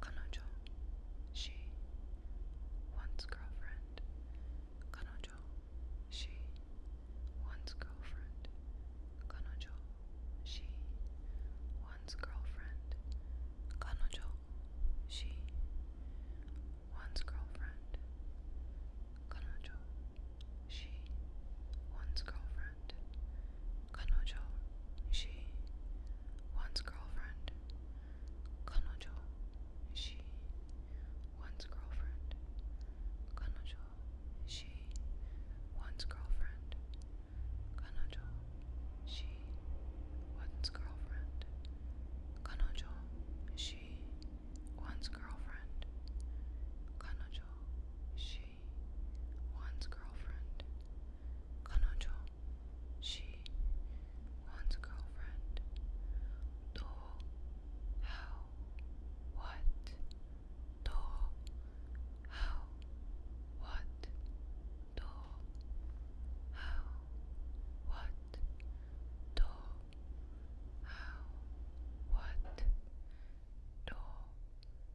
Kanojo, she, once girlfriend. Kanojo, she, once girlfriend. Kanojo, she, once girlfriend. Kanojo, she, once girlfriend. Kanojo, she, once girlfriend. Kanojo, she, once girlfriend. Kanojo. She once girlfriend. Kanojo. She once girlfriend. Kanojo. She once girlfriend. Kanojo. She Sui, Juan's girlfriend. Kanojo, she, Juan's girlfriend. Do, how, what? Do, how, what? Do, how, what? Do, how, what? Do,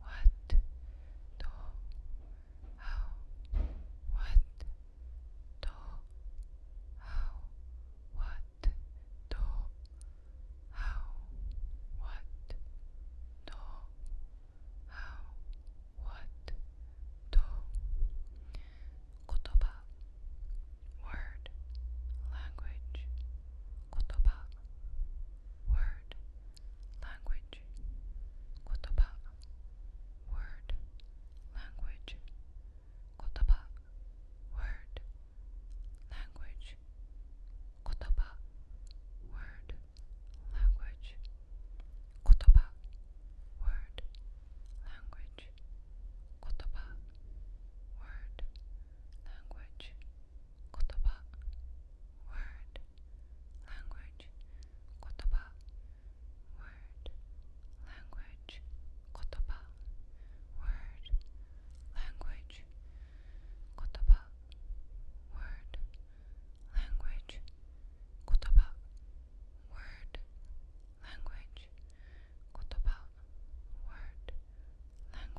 what to how what to how what to how what to how what to kotoba language kotoba language, kotoba, word, language, kotoba, word, language, kotoba, word, language, kotoba, word, language, kotoba, word, language, kotoba, word, language, kotoba, word, language, kotoba, word, language, kotoba, word, language, kotoba, word,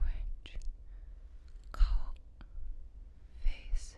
language, kao, face,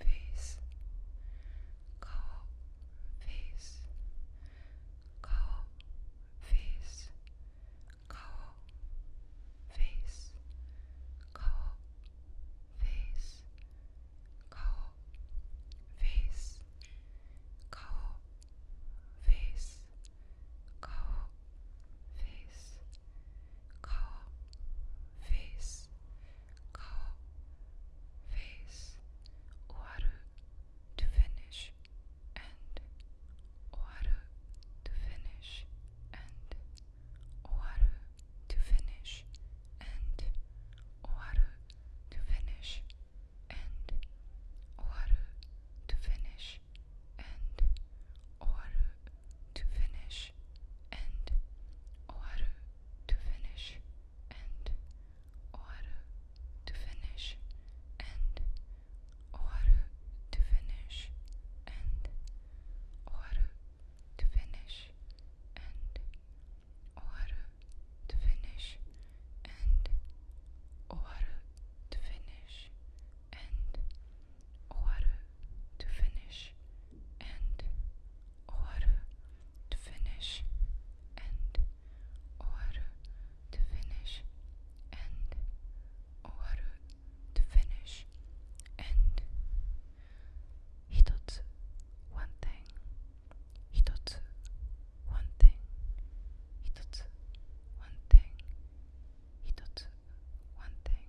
face, cow, face, cow, face, cow, face, cow, face, cow, face, cow, face, cow, face, Call face call face water to finish and water to finish and water to finish and water to finish and water to finish and water to finish and oaru to finish and oaru to finish and oaru to finish and oaru to finish and oaru to finish and and Owaru to finish and Owaru to finish and Owaru to finish and Owaru to finish and Hitotsu one thing one thing one thing one thing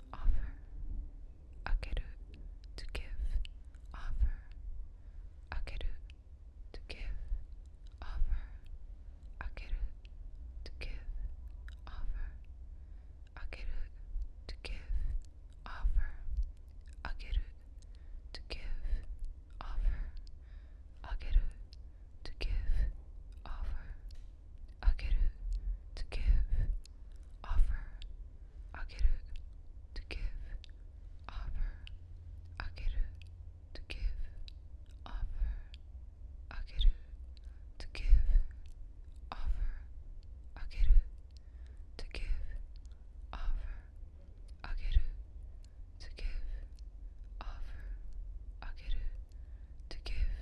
offer, akeru, to give, offer, to give, offer, to give, offer, to give, offer, to give, offer, to give, offer. Ageru to give, offer. Ageru to give, offer. Ageru to give, offer. Ageru to give, offer. Ageru to give, offer. Ageru give, to give,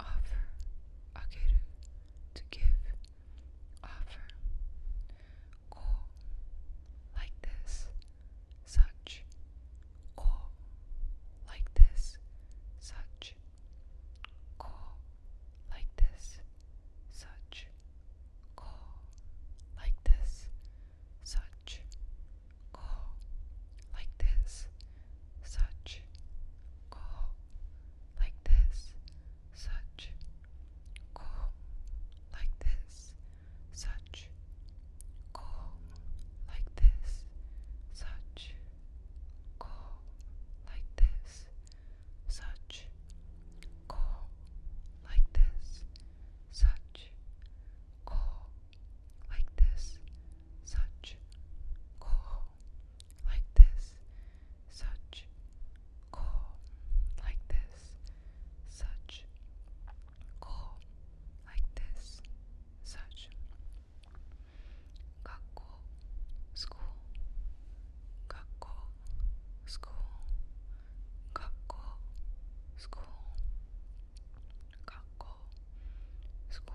offer, agir, to give, offer, go, like this, such, go, like this, such, go, like this, such, go, like this, such, go, like this, such, go, like this, such, go, like this, such, go, like this, such, go, like this, such, go, like this, such, go, like this, such cool, like this, such cool, like this, such Gakko, school, Gakko, school, Gakko, school, school.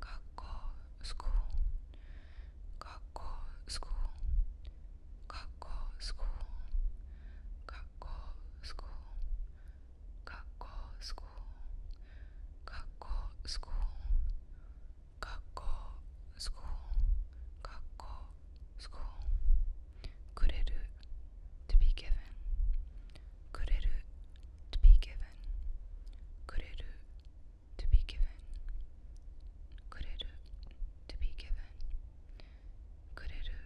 学校 school 学校 school 学校 school 学校 school 学校 school 学校 school 学校 school 学校 school くれる to be given くれる to be given くれる to be given kureru to be given kureru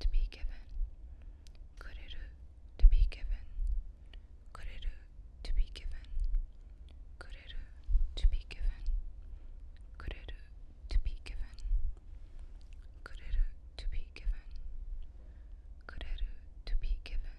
to be given kureru to be given kureru to be given kureru to be given kureru to be given kureru to to be given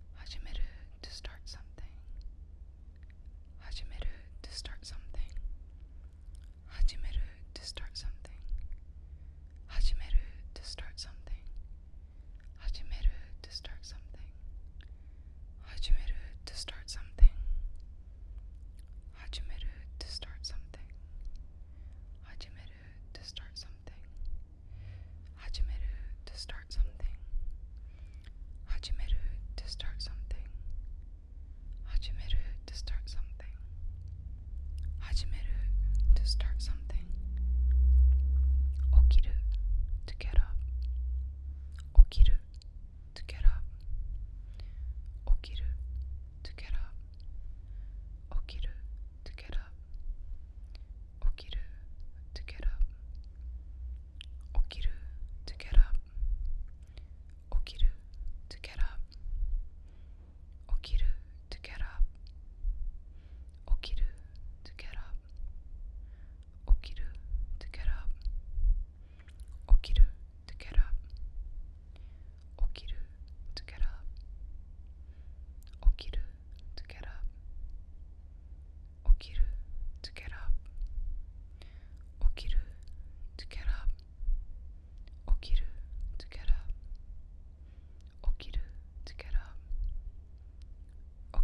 Hajimeru to start something. to start something. to start something. to start something. to start something. to start something. to start something. to start something to start something. to start something. to start something. to start something. Okiru to get up. Okiru to get up. Okiru to get up. Okiru to get up. Okiru to get up. Okiru to get up. Okiru to get up. Okiru to get up. to get up. to get up. to get up. to get up. to get up. 起きる to get up 起きる to get up 起きる to get up 起きる to get up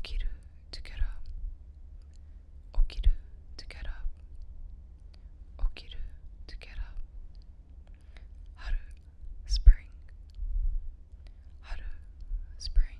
起きる to get up 起きる to get up 起きる to get up 春 spring 春 spring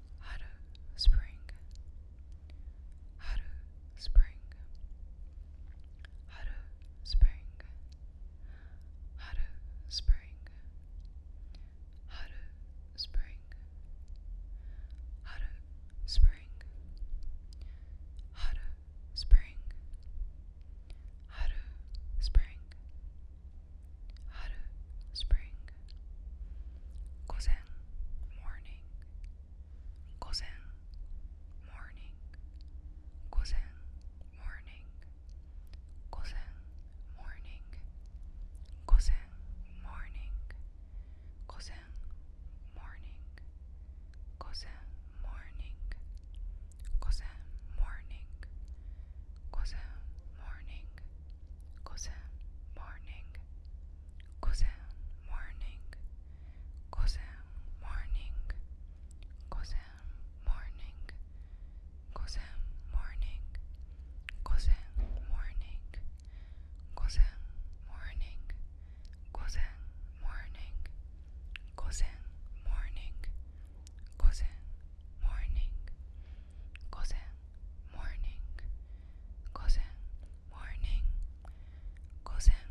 Haru Spring Haru Spring Haru Spring Haru Spring Haru Spring Haru Spring Haru Spring Haru Spring Haru, spring. Gozen, morning. morning. morning. morning. morning. morning. morning. morning cousin morning, cousin morning, cousin morning, cousin morning, cousin morning, cousin morning, cousin morning, cousin morning, cousin morning, cousin morning, cousin morning. 午前 morning Gozen morning Gozen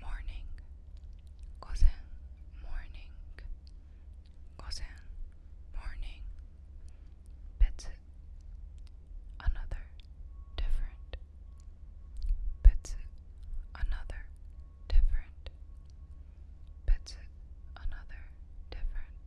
morning Gozen morning Gozen morning Betsu another different Betsu another different different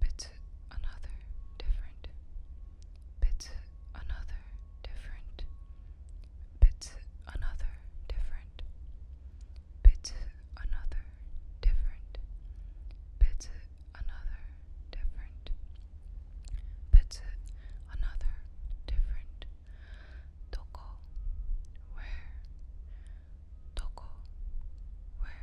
bit another different bit another different bit another different bit another different bit another different bit another different Toko where Toko where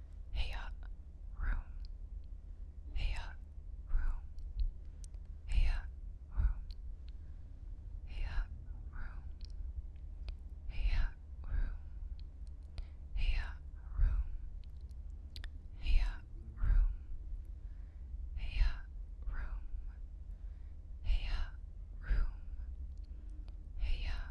Heya room. Heya room. Heya room. Heya room. Heya room. Heya room. Heya room. Heya room. Heya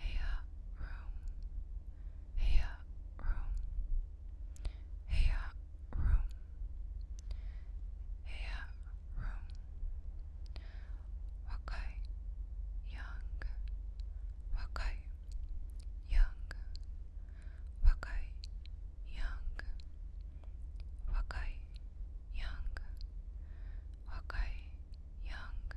Heya room. Heya room. Heya room. Heya room. Wakai young. young. young. young. young.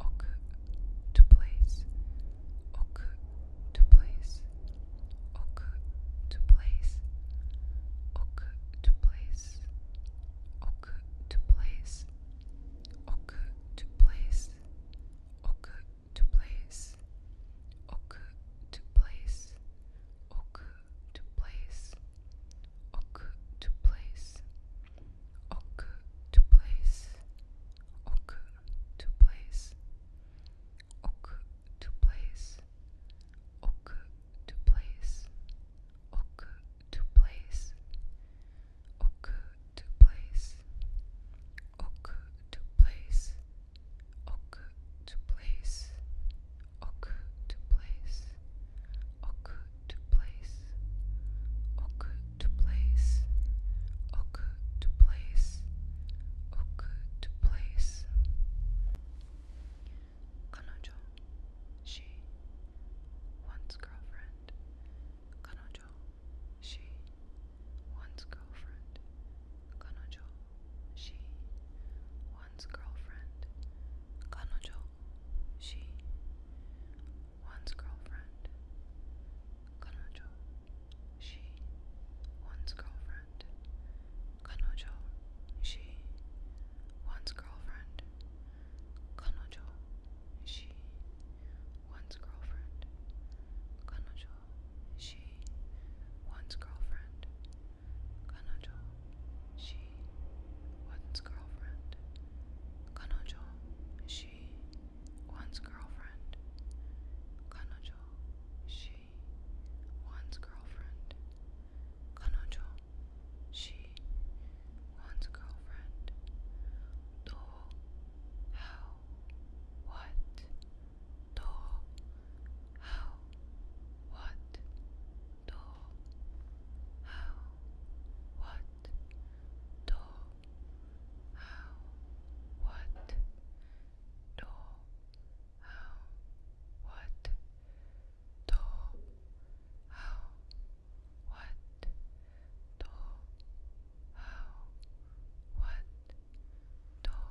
ok to place, ok to place, ok to place, ok to place, ok to place, ok to place, ok to place, ok to place, ok to place, to place. Ok. to place, oku to place, oku to place, oku to place, oku to place, oku to place, oku to place, oku to place, oku to place, ok oh, to place, ok oh, to place, ok oh, to place. Kanojo, she, once girlfriend. Kanojo, she, once girlfriend. Kanojo, she, once girlfriend. Kanojo, she, one's girlfriend. Kanojo. She. One's girlfriend. Kanojo. She. One's girlfriend. Kanojo. She. One's girlfriend. Kanojo. She. One's girlfriend. Kanojo. She. One's girlfriend. 彼女 she one's girlfriend 彼女 she one's girlfriend 彼女 she one's girlfriend どう how what どう how what どう how what do, how, what, do, how, what, do, how, what, do, how, what, do, how, what, do, how,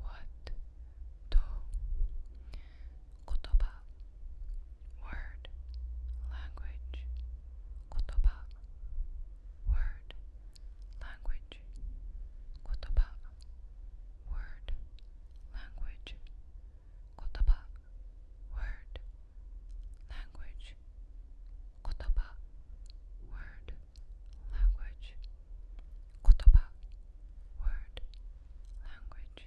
what to kotoba word language kotoba word language kotoba word language kotoba word language kotoba word language kotoba word language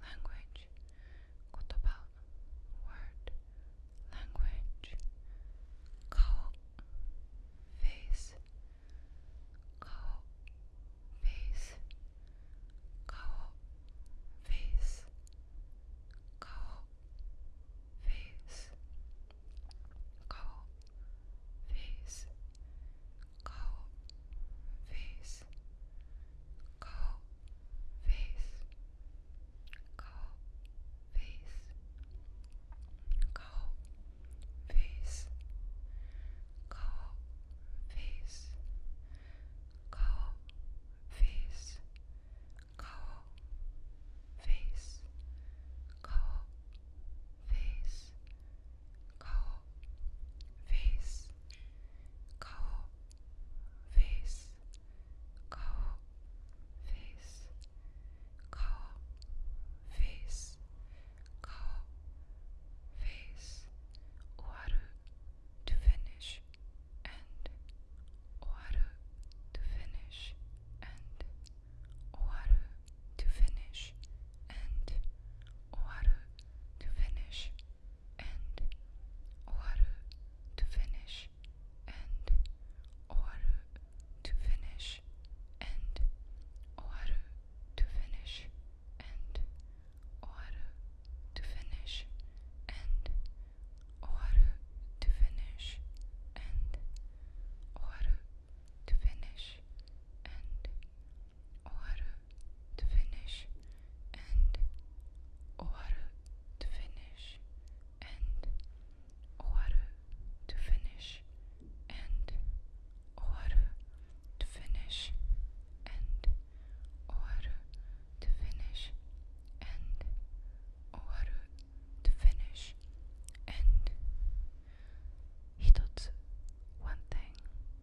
language, kotoba, word, language, kao, face, kao, face, kao, face, kao, face, kao, face, cold face, cold face, cold face, cold face, cold face, cold face, cold face, cold face, face, cow, face, cow, face, cow, face, face, to finish and to finish and to finish and to finish and oru to finish and oru to finish and oru to finish and oru to finish and oru to finish and Oharu to finish and Oharu to finish and Oharu to finish and Oharu to finish and Oharu to finish and Oharu to finish and one thing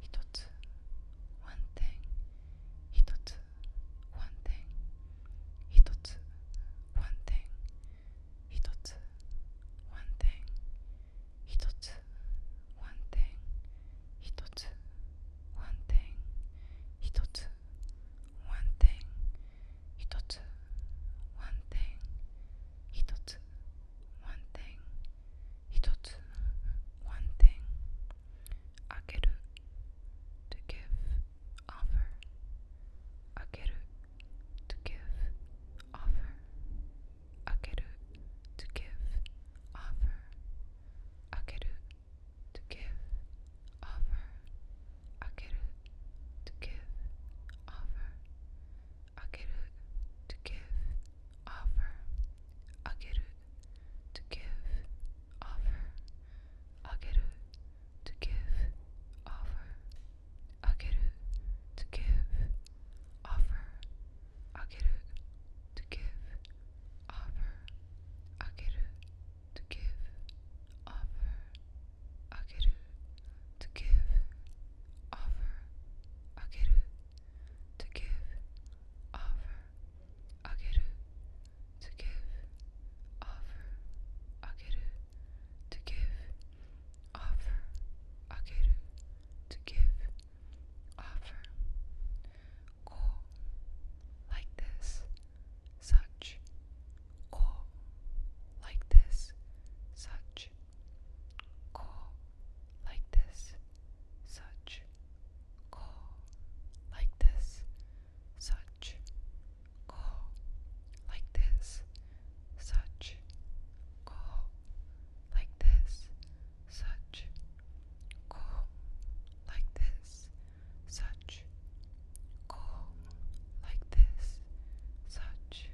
一つ one thing 一つ one thing 一つ one thing 一つ one thing 一つ one thing 一つ one thing 一つ one thing 一つ one thing 一つ one thing 一つ one thing one thing あげる to give offer to give offer to give offer to give offer to give offer to give offer to give, offer, to give, offer, to give, offer, to give, offer, to give, offer, to give, offer, to give, offer, ageru, to give, offer, ageru, to give, offer, ageru, to give, offer. Go like this, such. Go like this, such. Go like this, such. Go like this. Such. Go like this. Such. Go like this. Such. Go like this. Such. Go like this. Such.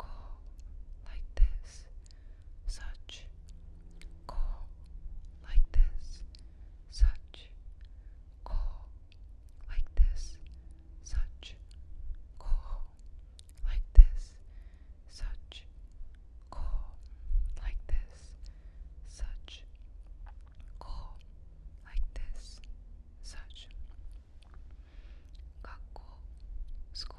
Go like this such, call, like this, such, call, like this, such, call, like this, such, call, like this, such, call, like this, such. 学校 school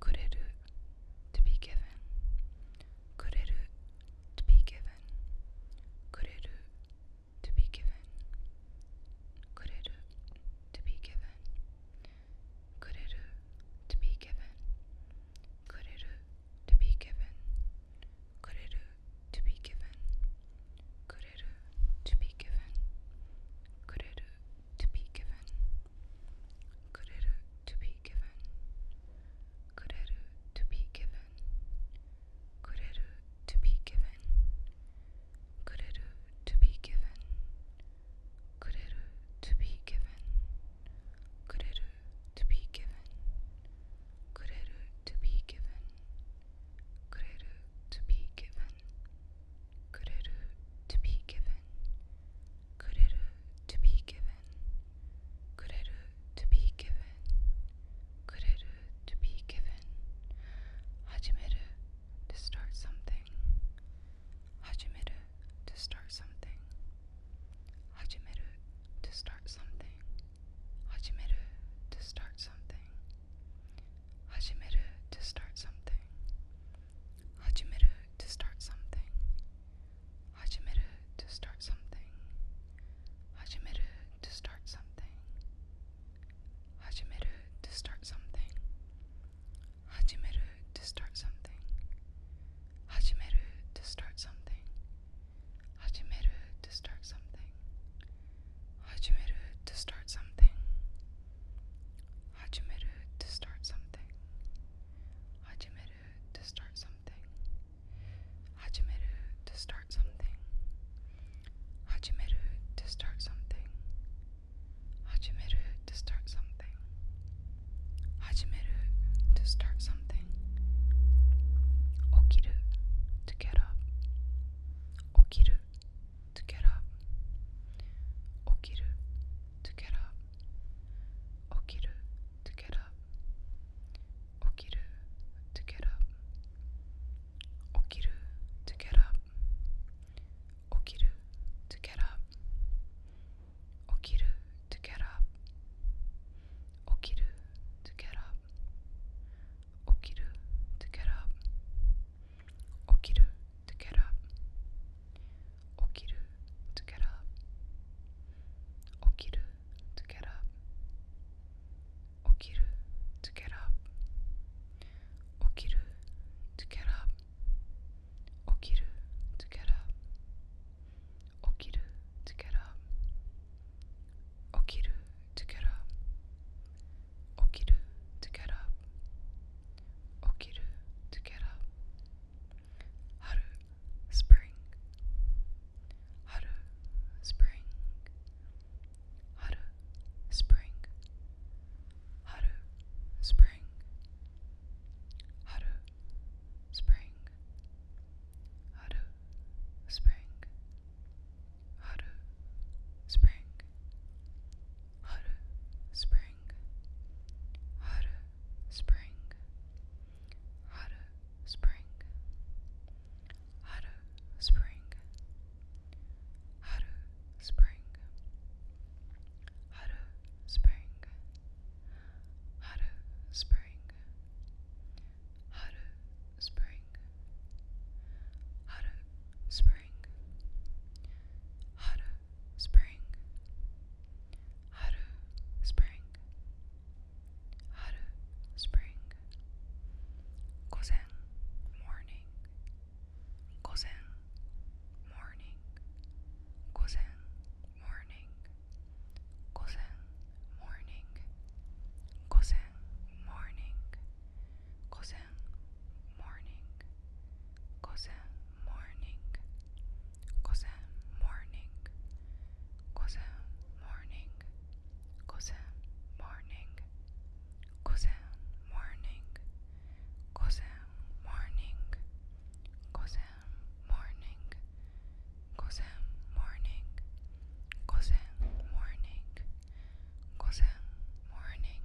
Could it uh, to be given. Kureru uh, to be given. Kureru uh, to be given. Kureru to be given. Kureru to be given. Kureru to be given. Kureru to be given. Kureru to be given. Kureru to be given kureru to be given kureru to be given kureru to be given kureru to be given kureru to be given kureru to be given kureru to be given kureru to be given Kureru uh, to be given. Kureru uh, to be given. Kureru uh, to be given. Kureru to be given. to start something. to start something. to start something. to start something. Hajimeru to start something. Hajimeru to start something. Hajimeru to start something. Hajimeru to start something. Hajimeru to start something. Hajimeru to start something. Hajimeru to start something. Hajimeru to start something. Hajimeru to start something. Hajimeru to start something. Hajimeru to start something. Hajimeru to start something. Hajimeru to start something. Hajimeru to start something. Hajimeru to start something. Okiru to get up. Okiru to get up. Okiru to get up. Okiru to get up. Okiru to get up. Okiru to get up. Okiru to get up. Okiru to get up. Okiru to get up. Okiru up to get up. Okiru to get up. Okiru to get up. Okiru to get up. Okiru to get up. Okiru to get up. Okiru to get up. Okiru up. to get up. Okiru to get up. spring. spring. spring. spring. spring. spring. spring haru spring haru spring haru spring haru spring haru spring haru spring haru spring haru spring Haru Spring Haru Spring Haru Spring Gozen Morning Gozen Morning Gozen Morning Gozen Morning Gozen Morning Gozen morning, cosa morning, cosa morning, cosa morning, cosa morning, cosa morning, cosa morning, cosa morning, cosa morning, cosa morning, cosa morning.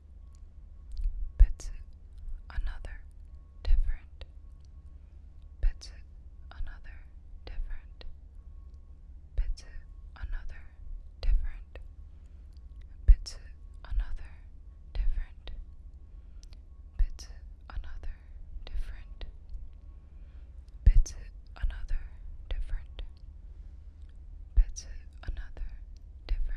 Bits another different. Bits another different. Bits another different. Bits another different. Bits another different. Bits another different. Bits another different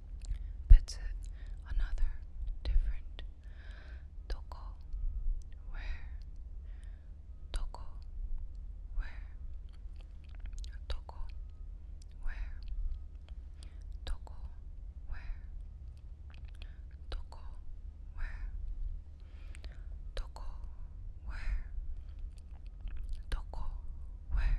puts it another different toko where toko where toko where toko where toko where toko where toko where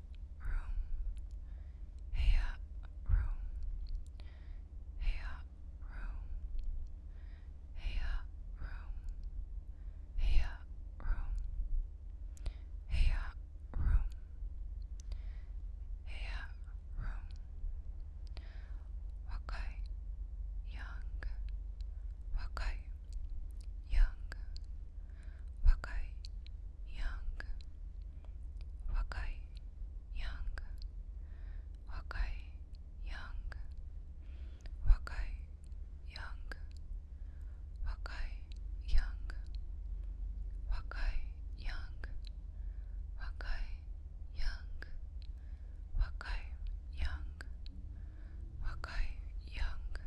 room. Hey up room. Hey up room. Hey up room. Hey up room. Hey up room. Hey up room. Wakai young. Wakai young. Wakai young, wakai, young, wakai, young, wakai, young, wakai, young, wakai, young, young, young, young.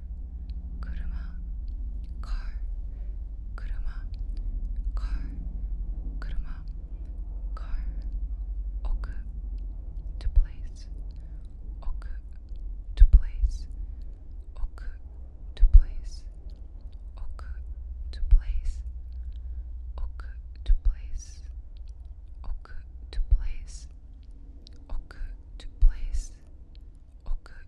車カー車カー車カー置く to place 置く to place 置く to place 置く to place 置く to place 置く to place 置く to place 置く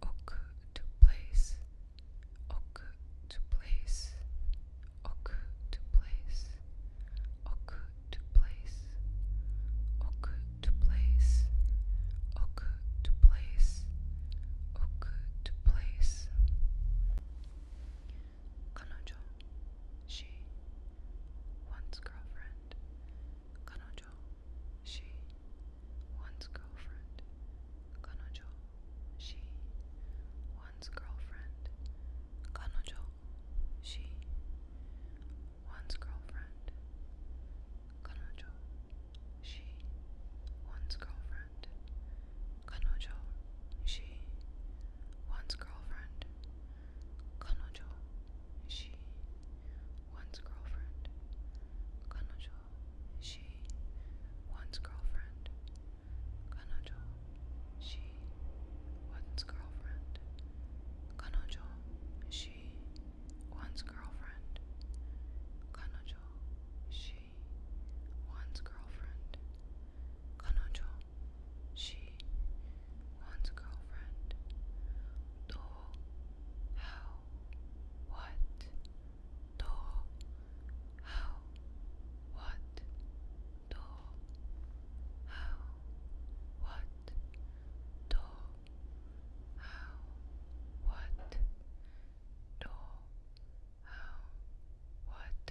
ok to place, ok to place, ok to place, ok to place, ok to place, ok to place, ok to place. Kanojo, she, once girlfriend. Kanojo, she, one's girlfriend, kanojo, she, one's girlfriend, kanojo, she, one's girlfriend, kanojo, she, one's girlfriend, kanojo, she, one's girlfriend, kanojo, she, once girlfriend. Kanojo, she, once girlfriend. Kanojo, she, once girlfriend. Kanojo, she, once girlfriend. Kanojo, she, once girlfriend. Kanojo, she, once girlfriend. Do, how, what, do, how, what, do, how, what, do, how, what, do, how, what, do, how, what, what,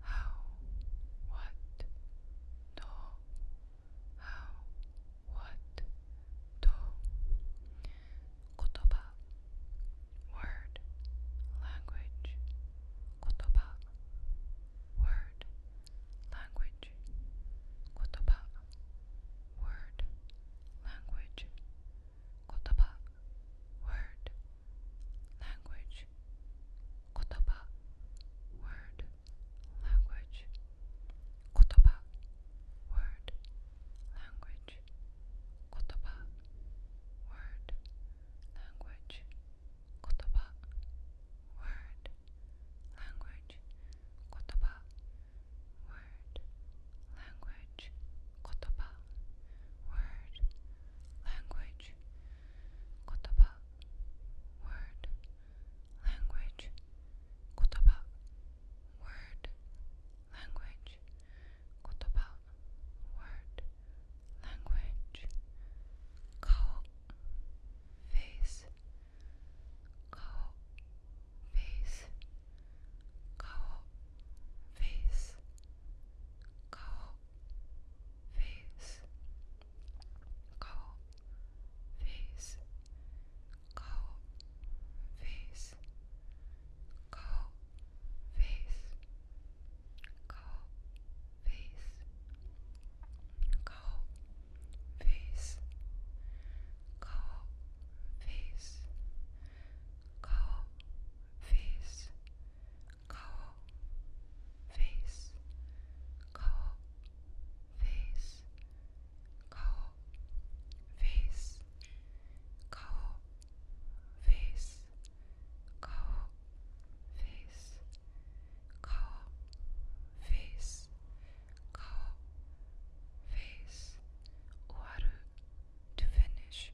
how, what, do, how, what, do, kotoba, language, kotoba, language, kotoba, language, kotoba, language, kotoba, word, language, kotoba, word, language, kotoba, word, language, kotoba, word, language, kotoba, word, language, kotoba, word language, kotoba, word, language, kotoba, word, language, kotoba, word, language, kao, face, kao, face, kao, face, face go face go face go face go face go face go face go face Kao face Kao face Kao face Kao face Kao face Kao face Kao face Uaru to finish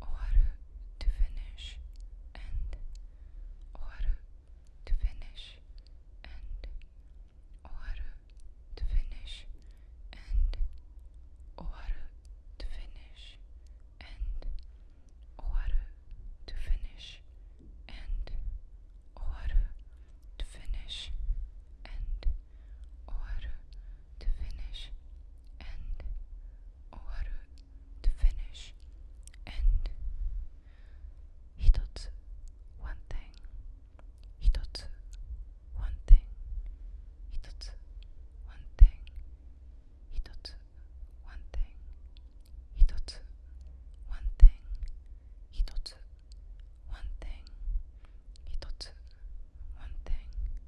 or to finish and or to finish and or to finish and or to finish and or to finish and or to finish and or to finish and 終わる to finish and 一つ one thing 一つ one thing 一つ one thing 一つ one thing 一つ one thing 一つ one thing 一つ one thing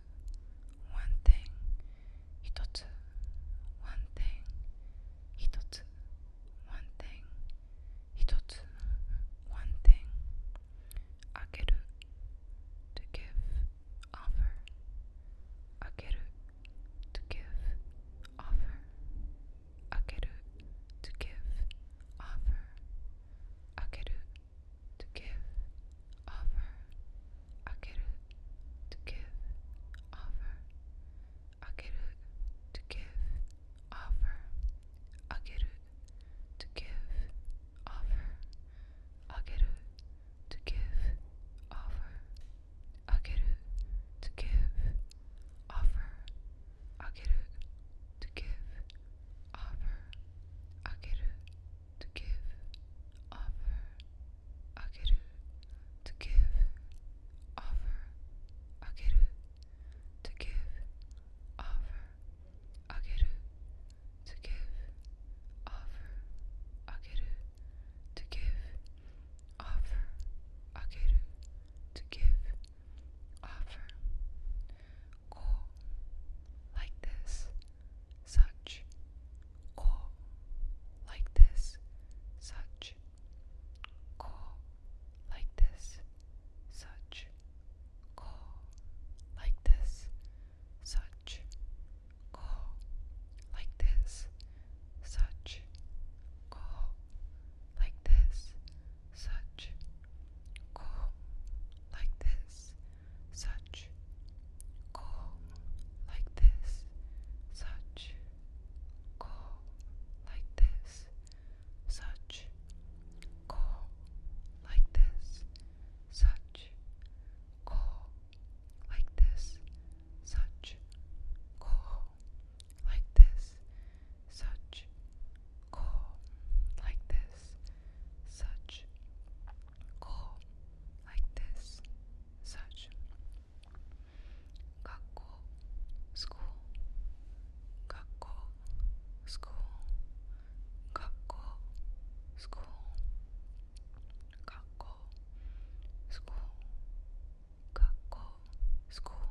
つワンテン一つワンテン一つワンテン一つワンテンあげる to give offer あげる to give offer あげる to give offer あげる to give, offer, akeru, to give, offer, akeru, to give, offer, akeru, to give, offer, akeru, to give, offer, akeru, to give, offer, akeru, to give, offer, akeru, to give, offer, akeru, to give, offer, akeru, to give, offer, akeru, to give, offer, akeru, to give, offer, akeru, to give, offer. Go like this such, ko, like this, such, ko, like this, such, ko, like this, such, ko, like this, such, ko, like this, such, ko, like this, such cool like this, such cool like this, such cool like this, such cool like this, such cool like this, such cool like this this, such, go, like this, such, gakko, school, gakko, school, gakko, school, school, school, school.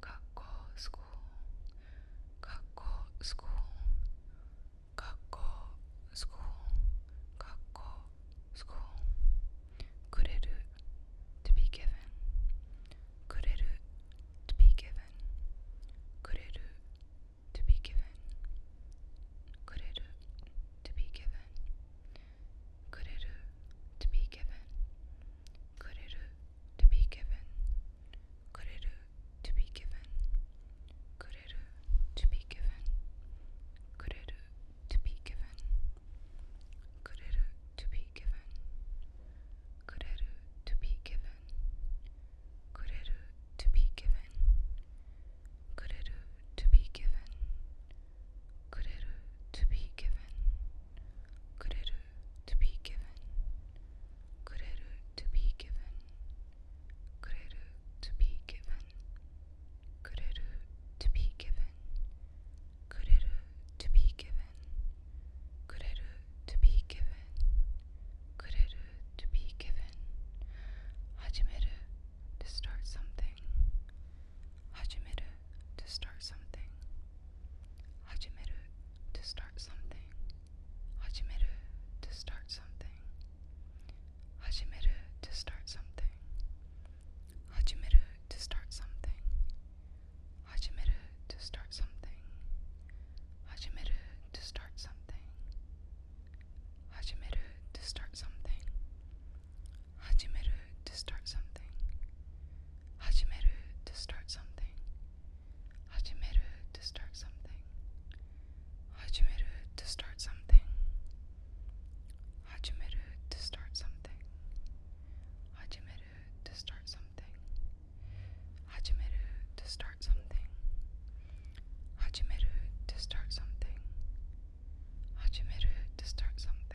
Kakko school. to be given. Kureru to be given. Kureru to be given. Kureru to be given. Kuriru to be given. Kuriru to be given. Kuriru to be given. Kuriru to be given. Kuriru to be given. Kuriru to be given. Kuriru to be given. Kuriru to be given. Kuriru to to be given. Kureru to be given. Kureru to be given. Kureru to be given. Kureru to be given. Kureru to be given. Kureru to be given. Kureru to be given. Hajimeru to start something. Hajimeru to start something. Hajimeru to start something. Hajimeru to start something. Hajimeru to start something. Hajimeru to start something. Hajimeru to start something. Hajimeru to start something. Hajimeru to start something. to start something. Hajimeru to start something. to start something. to start something. to start something. to start something. to start something. to start something. to start something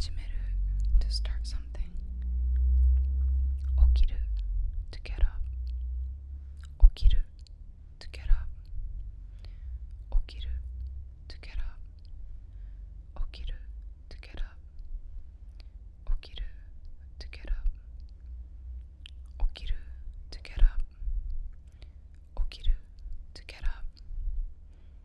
something. to start something. Okiru, to get up. to get up. to get up. to get up. to get up. to get up. to get up.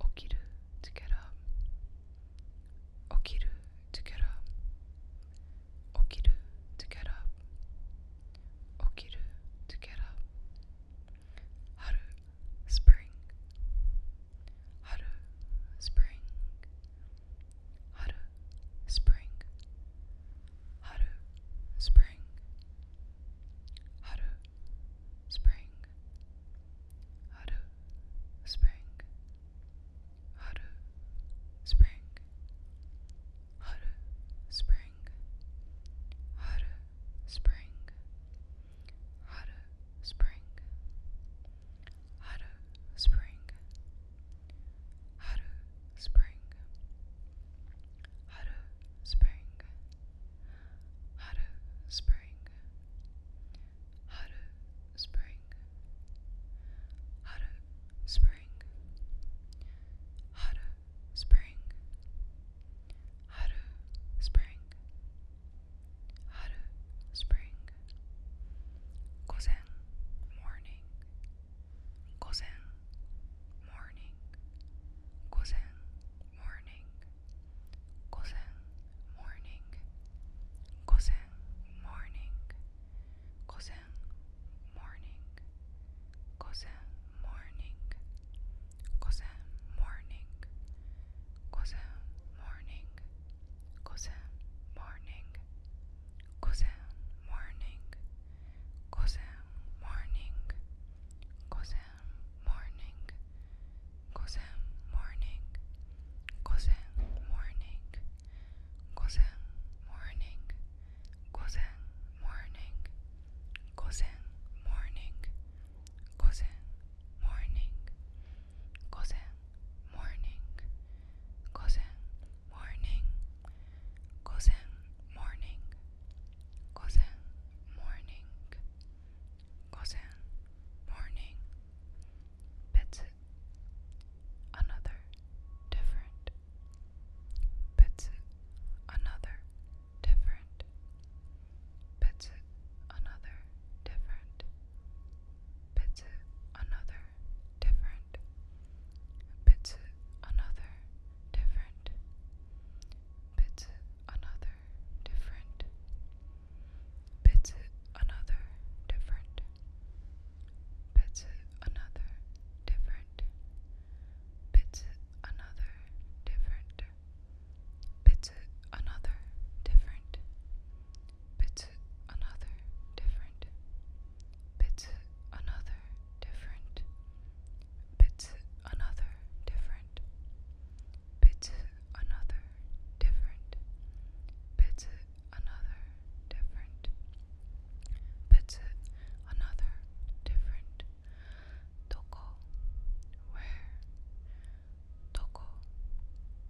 Okiru to get up. to get up. to get up. to get up. spring. spring. spring. spring spring, haru, spring, haru, spring, haru, spring, haru, spring, haru, spring, haru, spring, haru, spring. Haru Spring Haru Spring Haru Spring Haru Spring Haru Spring Haru Spring Gozen Morning Gozen Morning Gozen Morning Cousin morning, cousin morning, cousin morning, cousin morning, cousin morning, cousin morning, cousin morning, cousin morning, cousin morning, cousin morning. Cousin morning, cousin morning, cousin morning, cousin morning, cousin morning, cousin morning, cousin morning, cousin morning, cousin morning, cousin morning, Gozen, morning, another, different, another, different, another, different, another, different, another, different bits another different bits another different bits another different bits another different bits another different bits another different bits another different bit another different bit another different bit another different Toko where Toko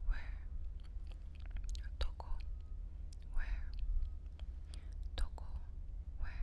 where Toko where Toko where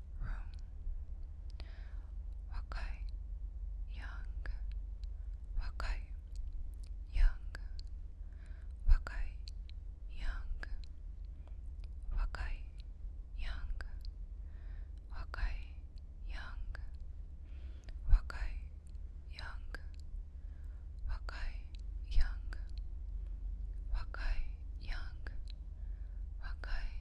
room. Wakai young, wakai young, wakai young, young, young, young, young, young,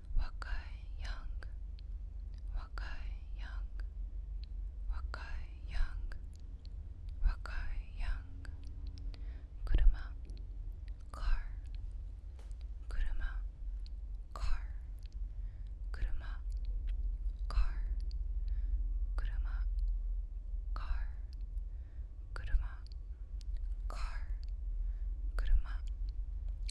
若い Young, Wakai Young, Wakai Young, Wakai Young, Kuruma, Car, Kuruma, Car, Kuruma, Car, Kuruma, Car, Kuruma, Car, Kuruma,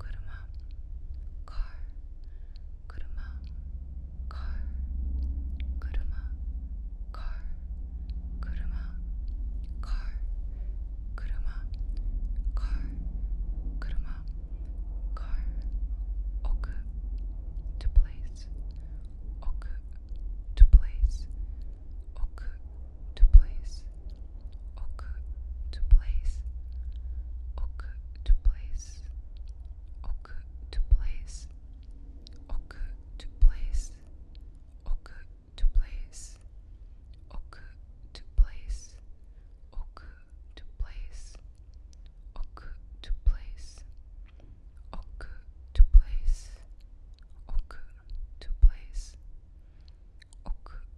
kuruma, car, kuruma, car, kuruma, car, kuruma, car, kuruma, car, kuruma, car, oku, to place, oku, to place, oku, to place, oku, to place, oku, to place, oku to place, oku to place, oku to place, oku to place, oku to place, oku to place, oku to place, oku to place, oku